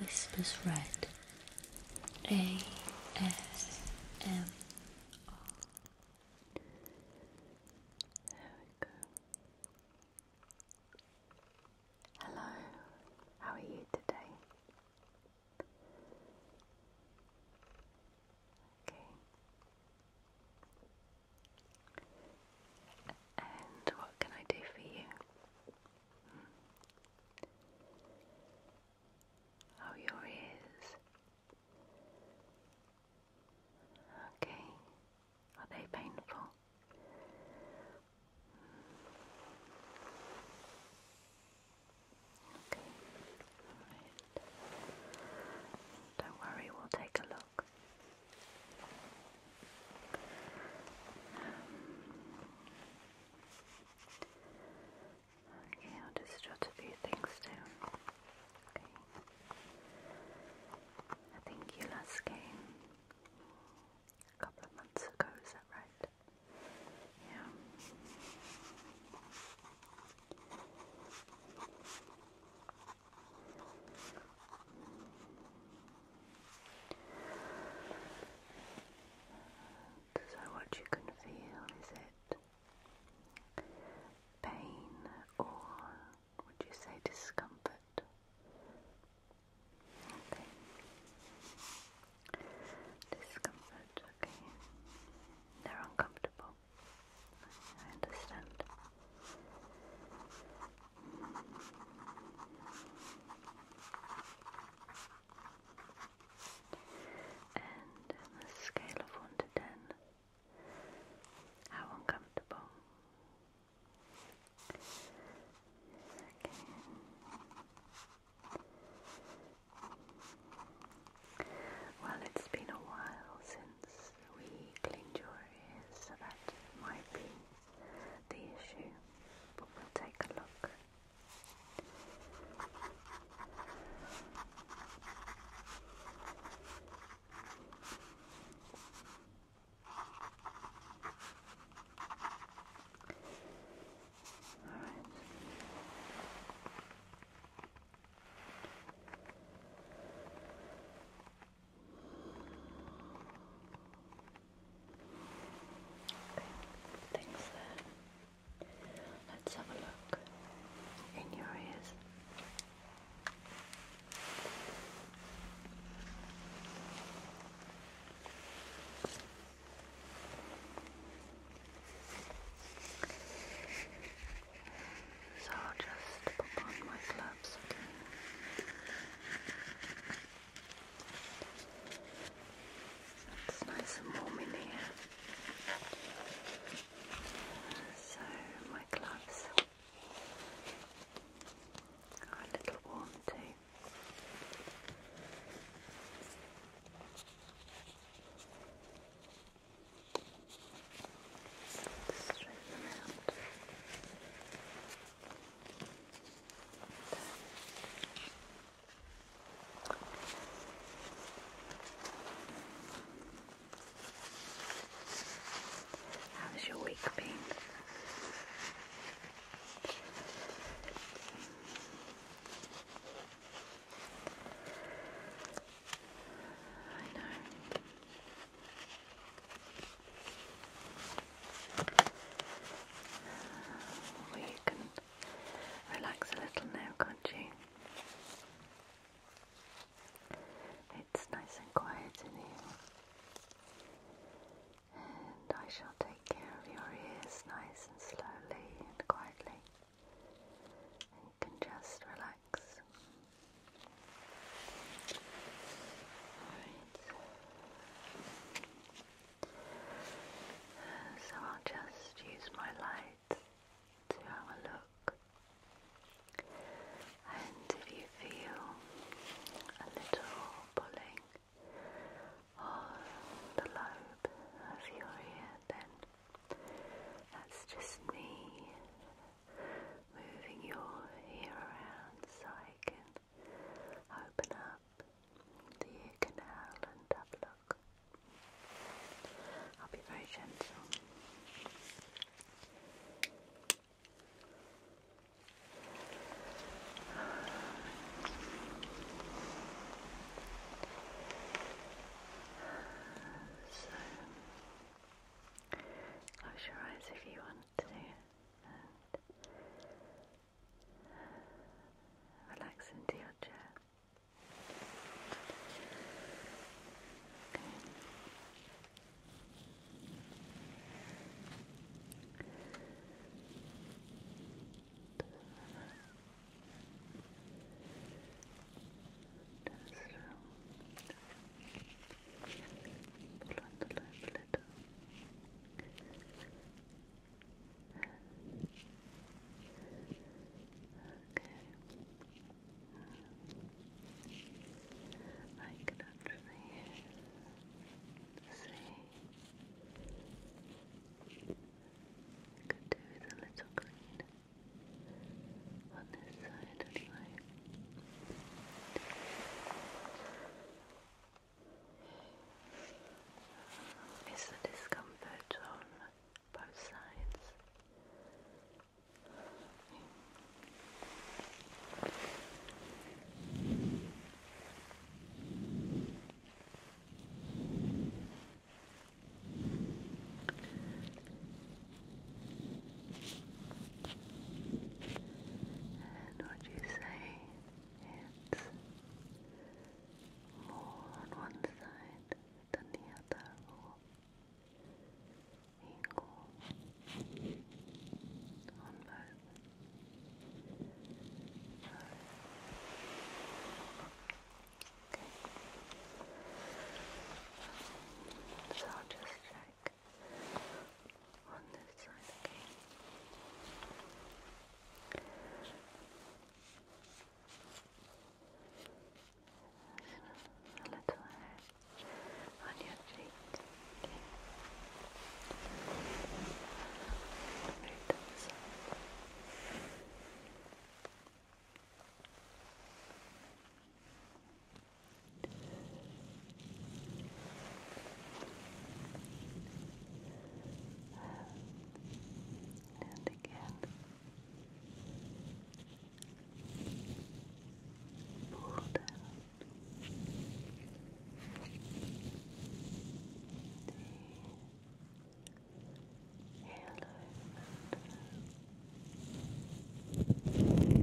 Whispers Red A S M R. There we go. Hello, how are you today? Okay. And what can I do for you? Hmm. Oh, your ears. Okay. Are they painful? Hmm. Okay. All right. Don't worry, we'll take a look. Okay, I'll just jot a few things down. Okay. I think you last came a couple of months ago, is that right? Yeah. So, what you can feel is it pain or would you say discomfort? Discomfort, okay. They're uncomfortable. I understand. And on a scale of 1 to 10, how uncomfortable? Well, it's been a while since we cleaned your ears, so that might be the issue, but we'll take a look. All right. Okay, things Let's have a look in your ears. So I'll just pop on my gloves Okay. It's nice and warm in here. So, my gloves are a little warm too. Straighten them out. How was your week been? I know you can relax a little now, can It's nice and quiet in here. And I shall take care of your ears nice and slowly and quietly. And you can just relax. Alright. So I'll just use my light to have a look. And if you feel a little pulling on the lobe of your ear, then that's just me moving your ear around so I can open up the ear canal and have a look. I'll be very gentle. So, close your eyes if you want and relax into your chair. Okay. Just relax pull on I can actually see. I could do with little green on this side anyway. It's the discomfort on both sides? And what do you say it's more on one side than the other, or equal on both. okay. So just check on this side, okay? A little hair on your cheek, okay? Move and again, pull down. The halo mantra.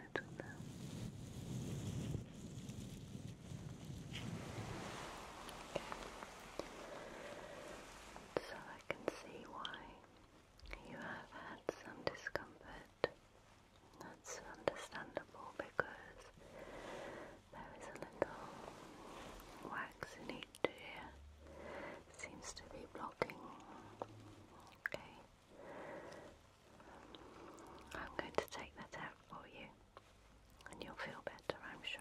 So I can see why you have had some discomfort. That's understandable because there is a little wax in each ear. Seems to be blocking. Okay. I'm going to take that out for you and you'll feel better, I'm sure.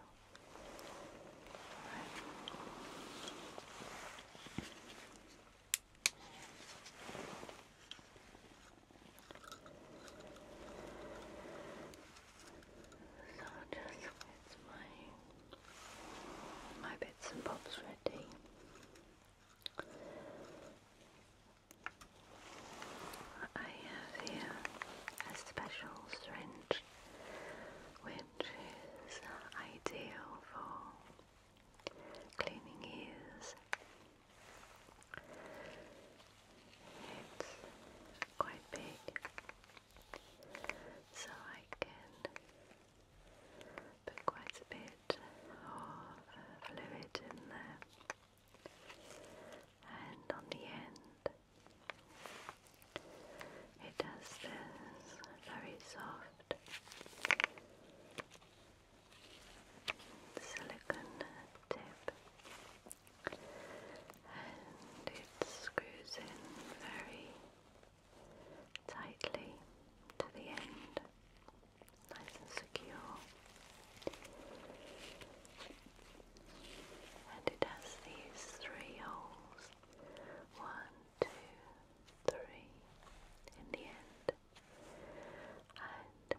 So I'll just get my, my bits and bobs ready. I have here a special syringe which is ideal for cleaning ears. It's quite big, so I can put quite a bit of fluid in there and on the end it has this very soft silicone tip and it screws in very tightly to the end nice and secure. And it has these three holes one, two, three in the end, and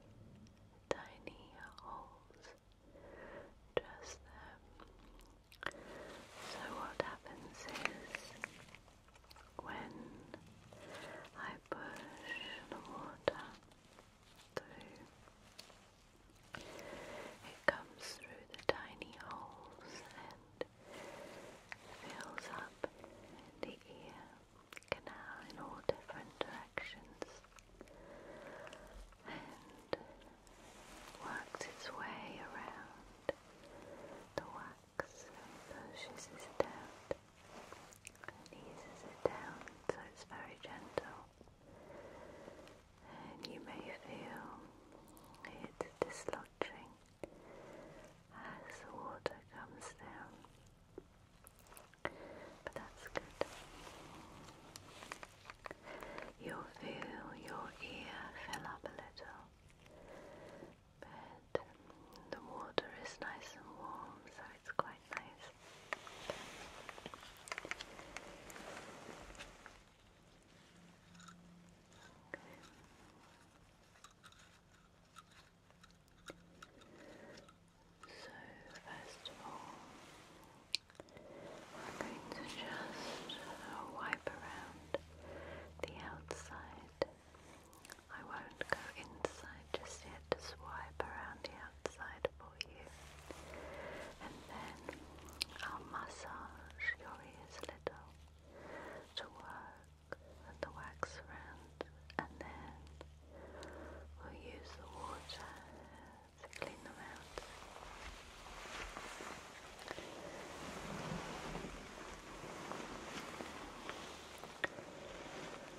tiny holes just So, what happens is when I push the water through. It comes through the tiny holes and fills up the ear canal in all different directions and works its way around the wax and pushes it out and eases it down so it's very gentle. And you may feel it's dislodging as the water comes down. But that's good. You'll feel your ear fill up a little. But the water is nice and warm, so it's quite nice. Okay. So first of all, we're going to just uh, wipe around the outside. I won't go inside just yet, just wipe around the side for you. And then I'll massage your ears a little to work the wax around, and then we'll use the water to clean them out.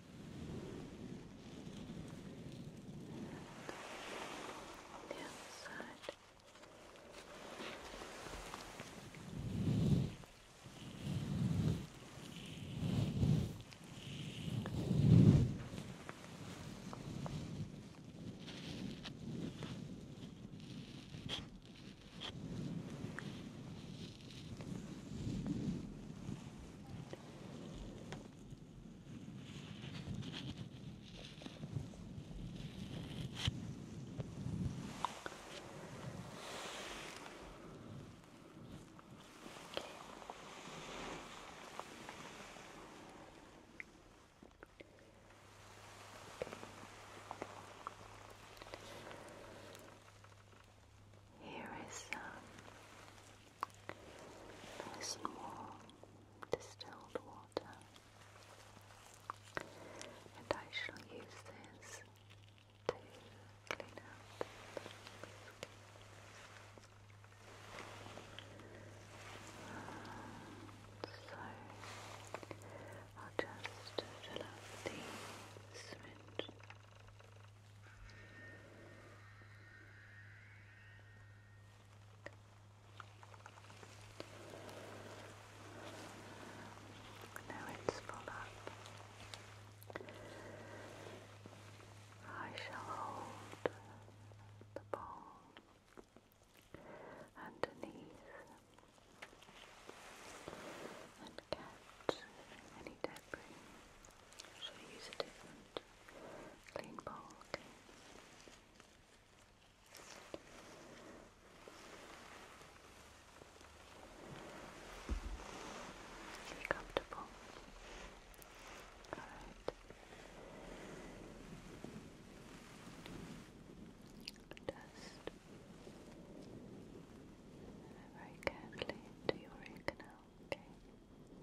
On the other side. Good. Here is some um, nice and distilled water. And I shall use this to clean out so I'll just fill up the syringe. Now it's full up. I shall hold the bowl underneath and catch any debris. shall use a different Clean bowl, okay. Be comfortable. Alright. Just very carefully to your root canal, okay?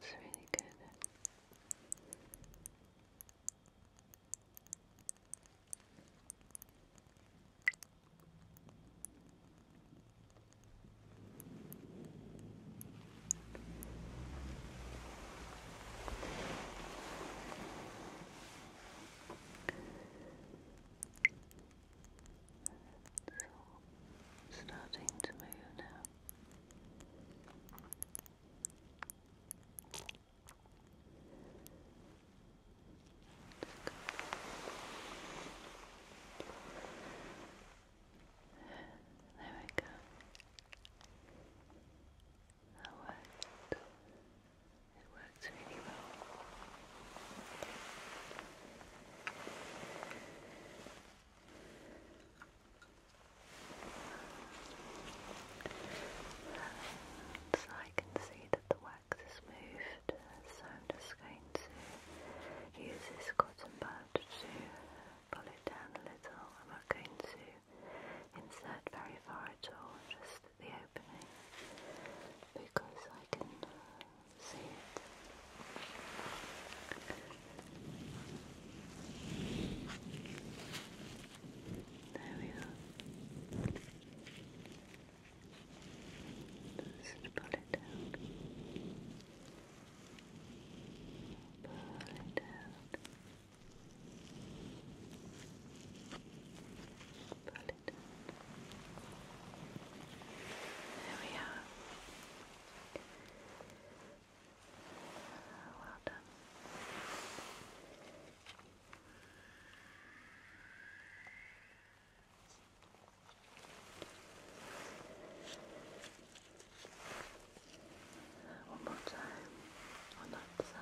There we go. That's really good. It's starting to move now. It's there we go. That worked. It works really well. So I can see that the wax has moved, so I'm just going to use this cotton bud to pull it down a little. I'm not going to insert very far at all, just the opening, because I can uh, see it. There we are. Just pull it down. Pull it out. Pull it out. There we are. Well done. One more time on that side.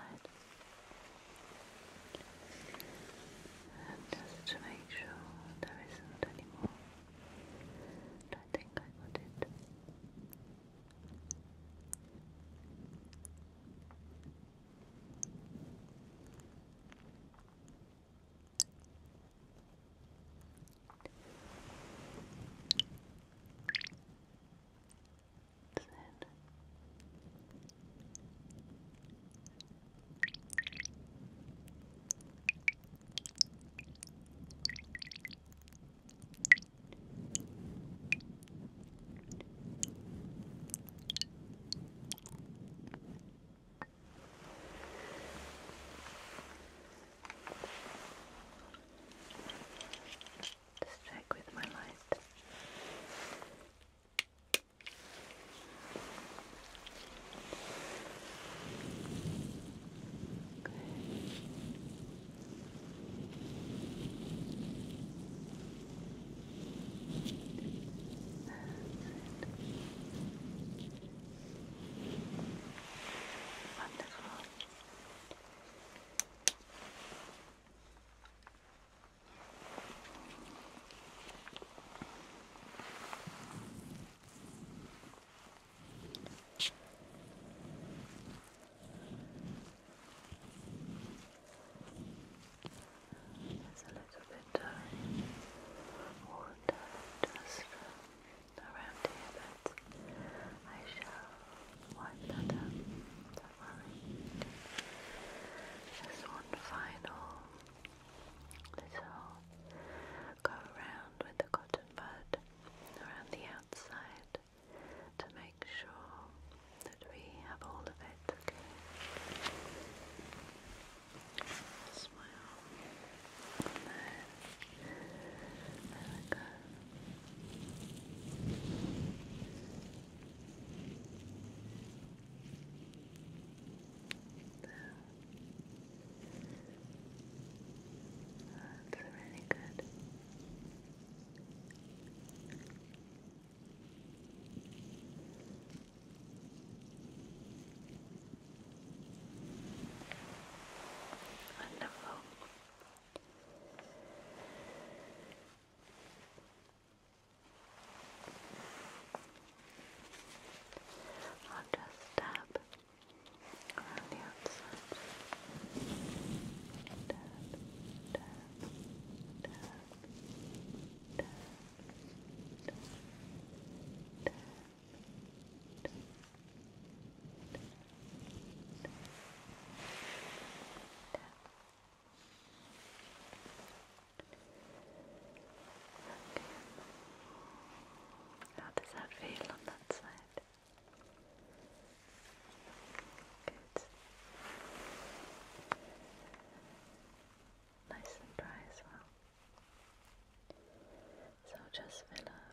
just to make sure there isn't any more. I think I got it. That's it. Good. Just check with my light. Good. That's it. Wonderful. There's a little bit of water just around here, but I shall wipe that up. Don't worry. Just one final little go around with the cotton bud around the outside to make sure that we have all of it. Okay well. And That's really Good. Wonderful. I'll just tap around the outside. Tap, tap, tap, tap, tap, tap, tap. How does that feel on that side? Good. Nice and dry as well. So just fill up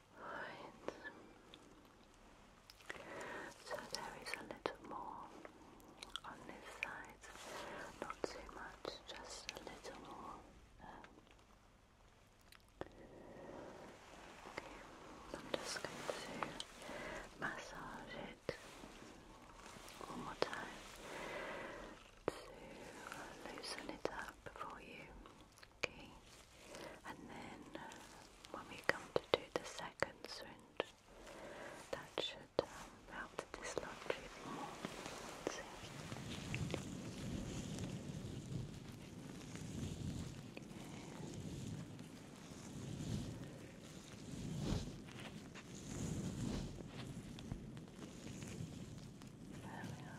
So there is a little more on this side, not too much, just a little more. I'm just going to massage it one more time to loosen it up for you. Okay, and then uh, when we come to do the second syringe, that should help to dislodge it There we are.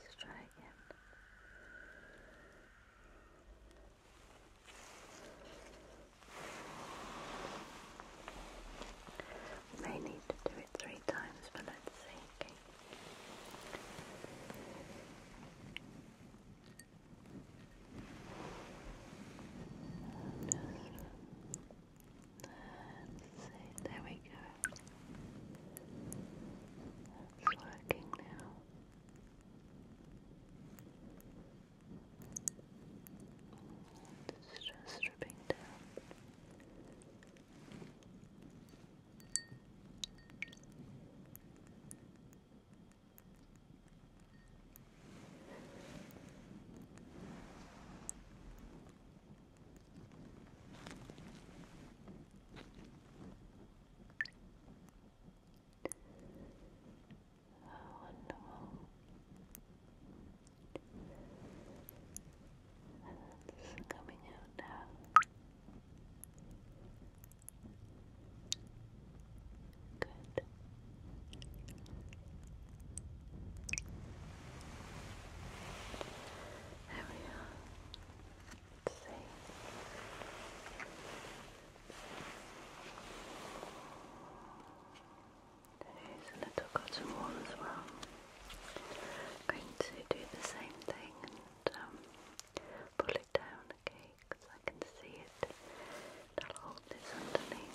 Let's try again. may need to do it three times, but let's see. Let's there we go. That's working now. It's just stripping down. Oh, wonderful. That's coming out now. Good. There we are. see. There's a little cotton wool as well. going to do the same thing and um, pull it down, okay, because I can see it. I'll hold underneath.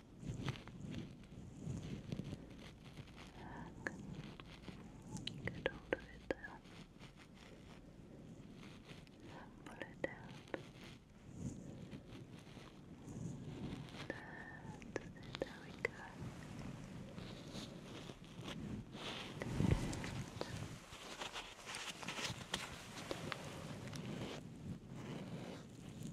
Get hold of it there. pull it down. That's it, there we go got it.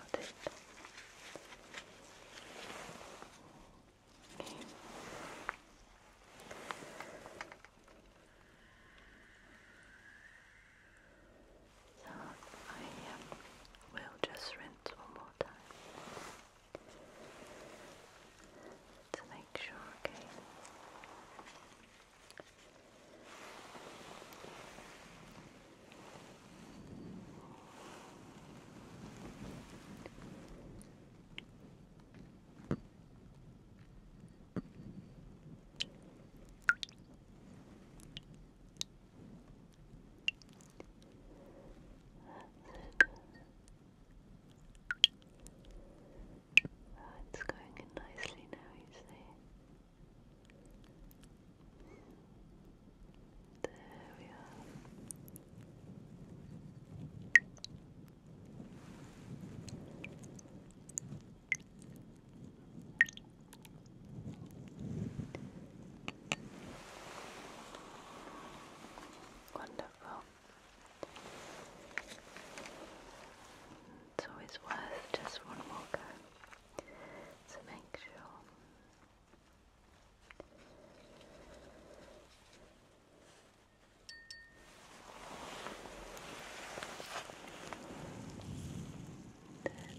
Okay. So I um, will just rinse one more time to make sure, okay? Oh, it's going in nicely now, you see. There we are. Wonderful. It's always worth just one more go to make sure.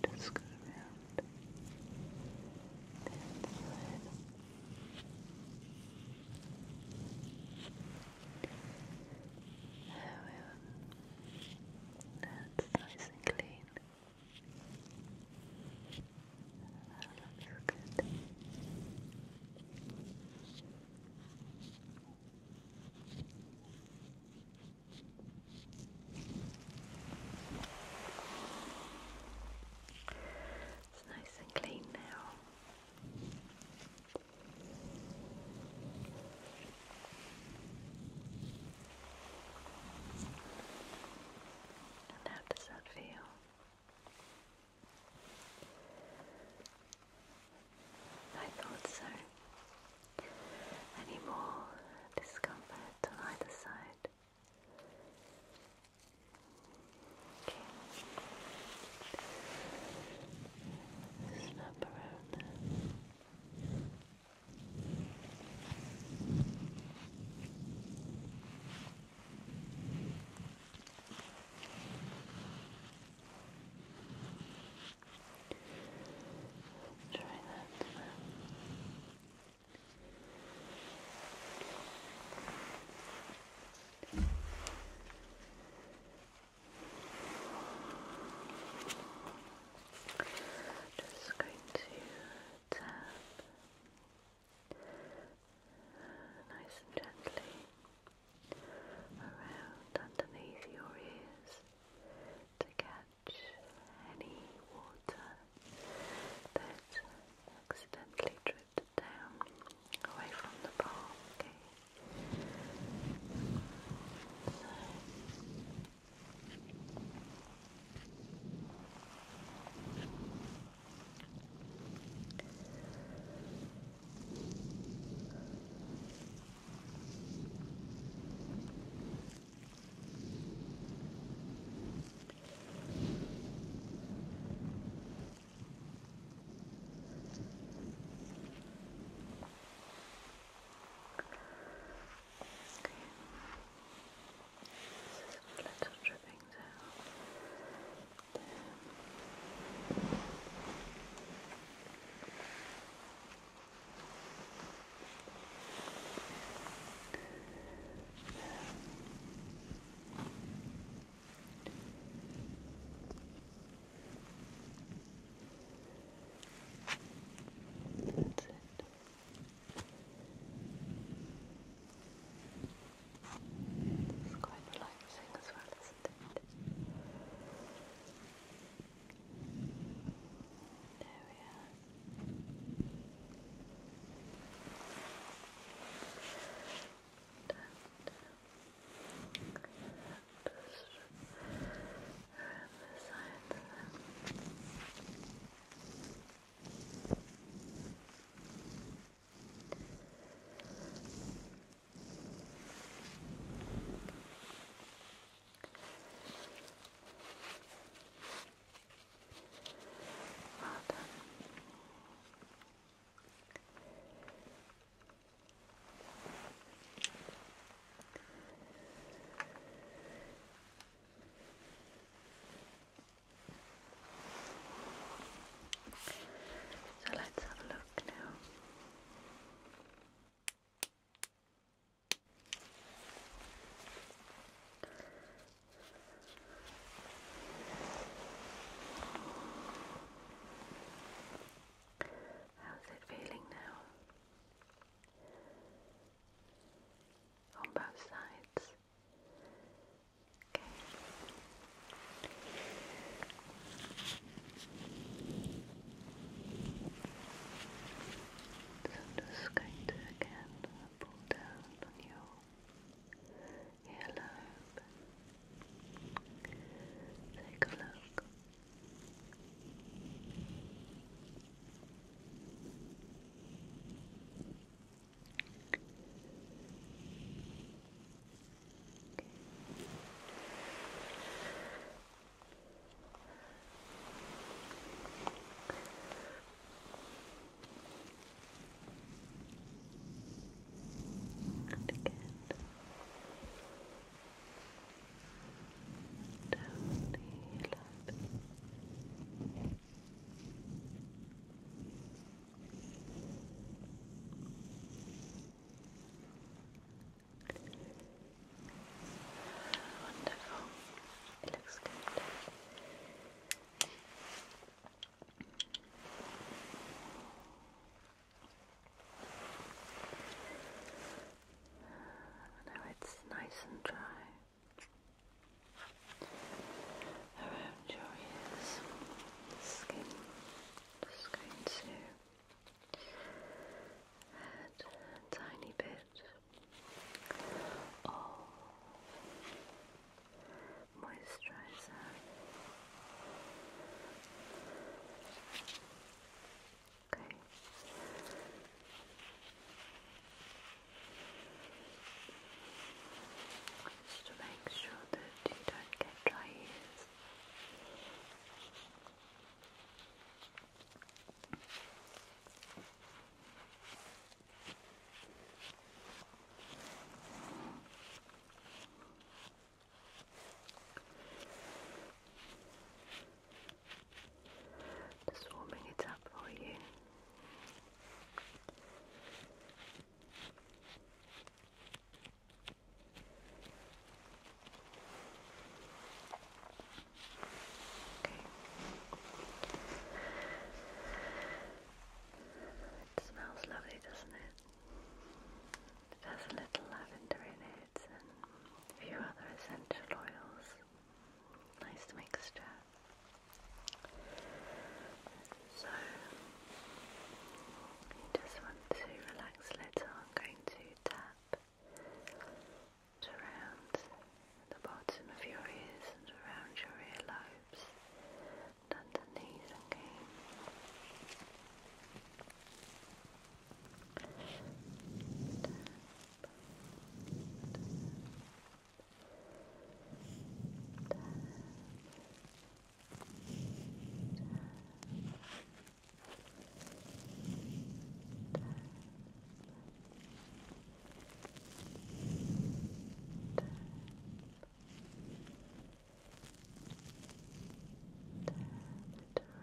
Then just go around well. That's nice and clean. That looks good. It's nice and clean now how does that feel? I thought so. Any more discomfort on either side? Okay. Snap around there. Try that now. Okay. Just going to tap nice and gently around underneath your ears to catch any water that accidentally drips it down away from the ball, Okay. This is little dripping down there. There. That's it. It's quite relaxing as well, isn't it? There we are around the sides of them. Well done. So let's have a look now. Okay. How's it feeling now? On both sides. Okay. So I'm just going to again pull down on your earlobe. Take a look. And again. Down, heel up. Wonderful. It looks good. Now it's nice and dry around your ears. Skin just going to a tiny bit of moisturizer. Okay. Just to make sure that you don't get dry ears. Just warming it up for you. Okay. It smells lovely, doesn't it? It has a little lavender in it and a few other essential oils. Nice mixture. So, you just want to relax a little. I'm going to tap around the bottom of your ears and around your earlobes just underneath, okay? Tap, Turn it around.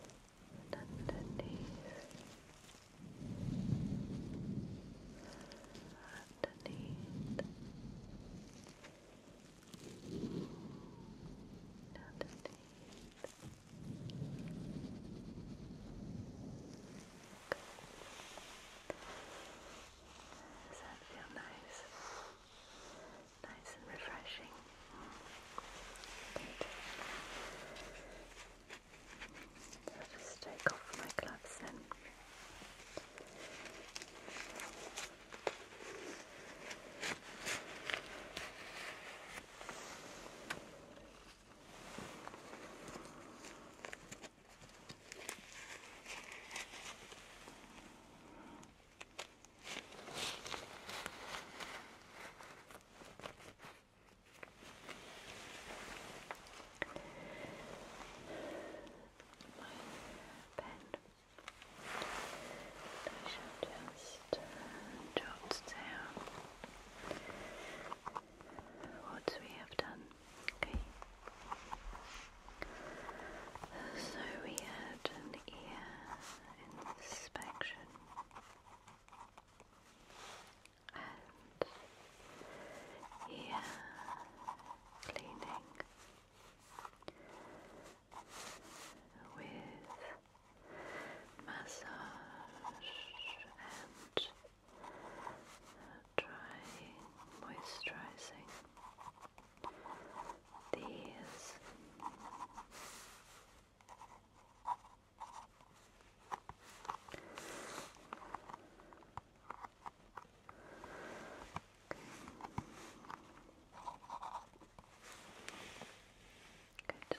And underneath. Underneath. Underneath. Does that feel nice? Nice and refreshing. Good. I'll just take off my gloves then. Okay. I shall just jot down what we have done. Okay. So we had an ear inspection and ear cleaning with massage and drying, moisturizing these. Good.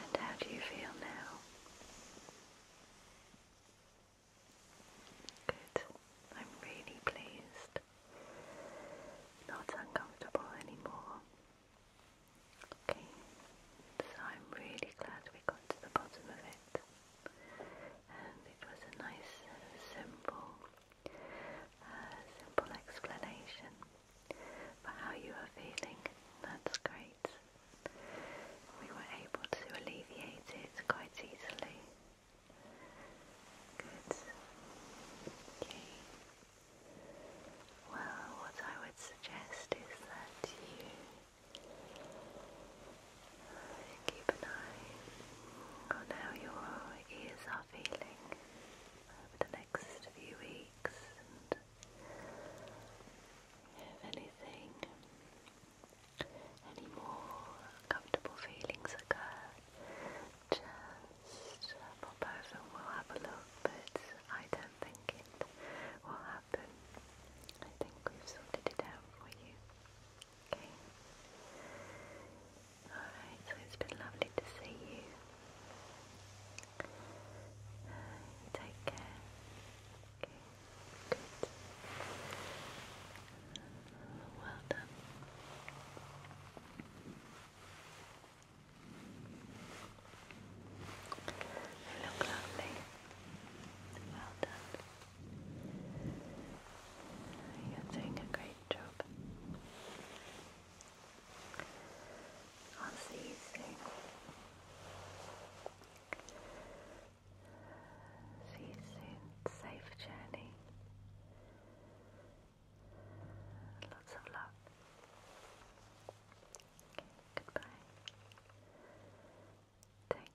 And how do you feel now? Good. I'm really pleased not uncomfortable anymore. Okay, so I'm really glad we got to the bottom of it, and it was a nice, simple, uh, simple explanation for how you are feeling. That's great. We were able to alleviate it quite easily. Good. Okay. Well, what I would suggest is that you keep an eye on how your ears are feeling over the next few weeks and if anything, any more uncomfortable feelings occur, just pop over, will have a look, but I don't think it will happen. I think we've sorted it out for you. Okay. Alright, so it's been lovely to see you uh, take care. Okay, good. Well done. You look lovely. Well done. You're doing a great job. I'll see you soon. See you soon. Safe journey. Lots of love. goodbye. Take care. Goodbye.